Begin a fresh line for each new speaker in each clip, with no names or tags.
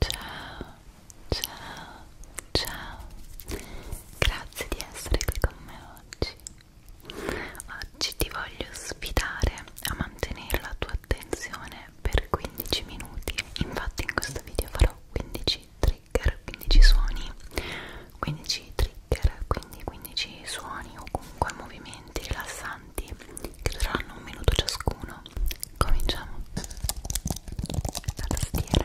Ciao, ciao, ciao. Grazie di essere qui con me oggi. Oggi ti voglio sfidare a mantenere la tua attenzione per 15 minuti. Infatti in questo video farò 15 trigger, 15 suoni, 15 trigger, quindi 15 suoni o comunque movimenti rilassanti avanti che dureranno un minuto ciascuno cominciamo la tastiera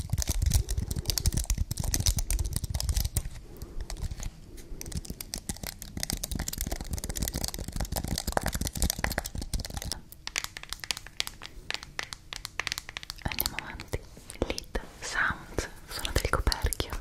Andiamo avanti. Lead sound, sono del coperchio.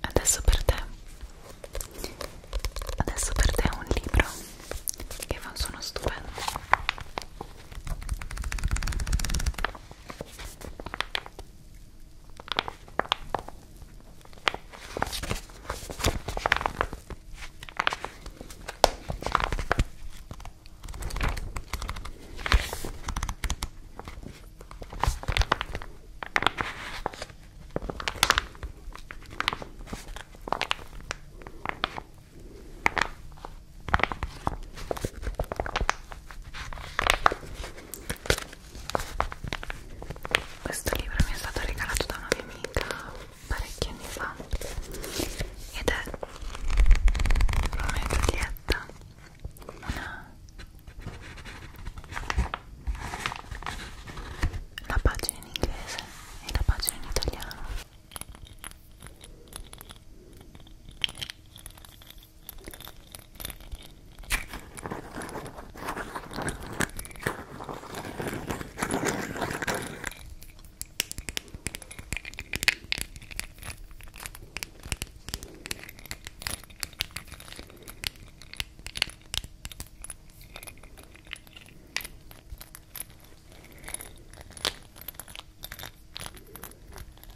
Adesso per te Adesso per te un libro che fa un suono stupendo questo libro mi è stato regalato da una mia amica parecchi anni fa ed è Romeo e Giulietta una la pagina in inglese e la pagina in italiano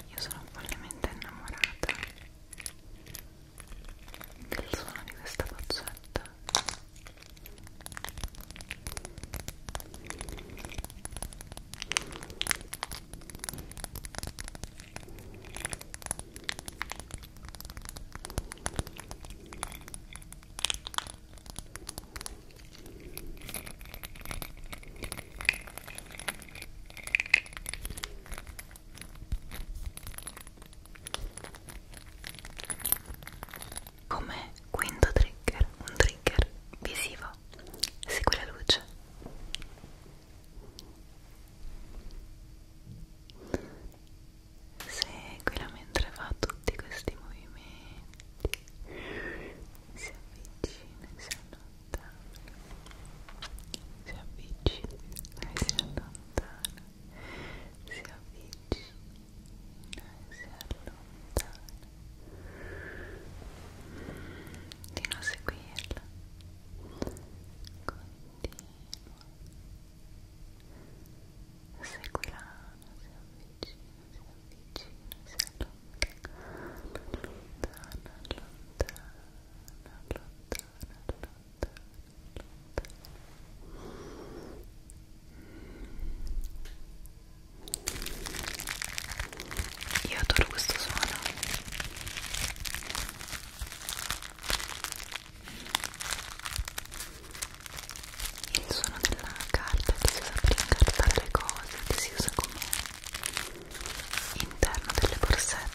io sono follemente innamorata del suono di questa boccetta. Come quinto trigger, un trigger visivo segui la luce seguila mentre fa tutti questi movimenti si avvicina si allontana si avvicina e si allontana si avvicina e si allontana di non seguirla continua seguirà si avvicina si avvicina si allontana allontana allontana allontana allontana io adoro questo suono. Il suono della carta che si usa per incartare le cose, che si usa come interno delle borsette.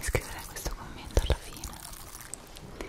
Scriverei questo commento alla fine. Molto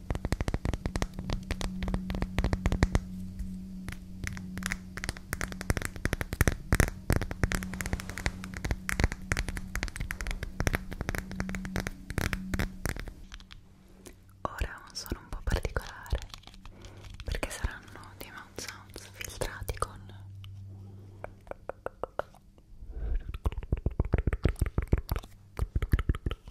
Ora ha un suono un po' particolare perché saranno dei mouth sounds filtrati con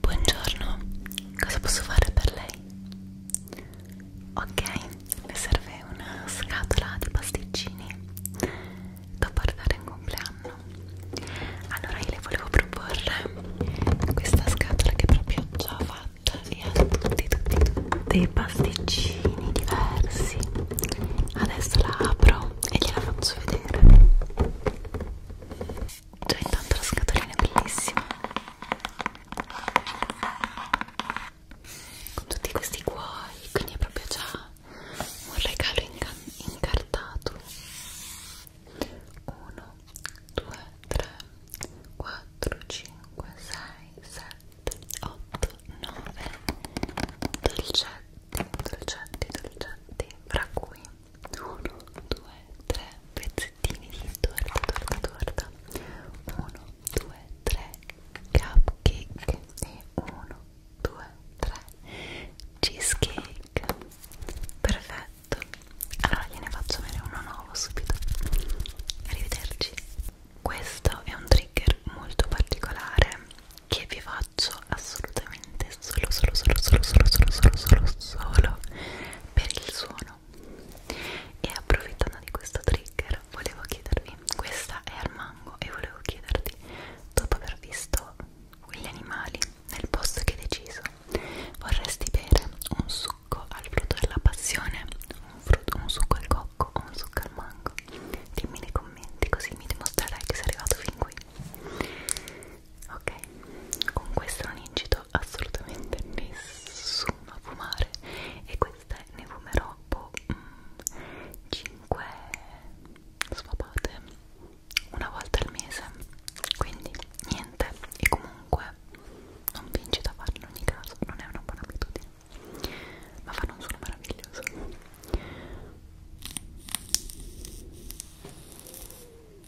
Buongiorno, cosa posso fare per lei? Ok, le serve una scatola di pasticcini da portare in compleanno. Allora io le volevo proporre questa scatola che proprio ho già fatta e ha tutti tutti tutti i pasticcini diversi. Adesso la apro e gliela faccio vedere. Già intanto la scatolina è bellissima con tutti questi cuori, quindi è proprio già un regalo incartato 1, 2, 3, 4, 5, 6, 7, 8, 9 dolcetti, dolcetti, dolcetti fra cui 1, 2, 3 pezzettini di torta, torta, torta 1, 2, 3 cupcake e 1, 2, 3 cheesecake perfetto allora gliene faccio avere uno nuovo subito arrivederci questo è un trigger molto particolare che vi faccio assolutamente veramente solo solo solo solo solo solo solo solo solo per il suono e approfittando di questo trigger volevo chiedervi questa è al mango e volevo chiederti dopo aver visto quegli animali nel posto che hai deciso vorresti bere un succo al frutto della passione un, frutto, un succo al cocco o un succo al mango dimmi nei commenti così mi dimostrerai che sei arrivato fin qui ok con questo non incito assolutamente nessuno a fumare e queste ne fumerò boh, 5 mm, sfapate una volta al mese quindi niente e comunque non vi incito a farlo in ogni caso non è una buona abitudine ma fanno un suono meraviglioso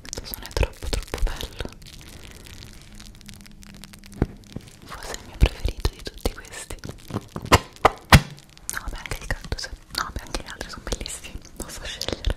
Questo suono è troppo troppo bello Forse è il mio preferito di tutti questi No, beh anche il cactus No, beh anche gli altri sono bellissimi Posso scegliere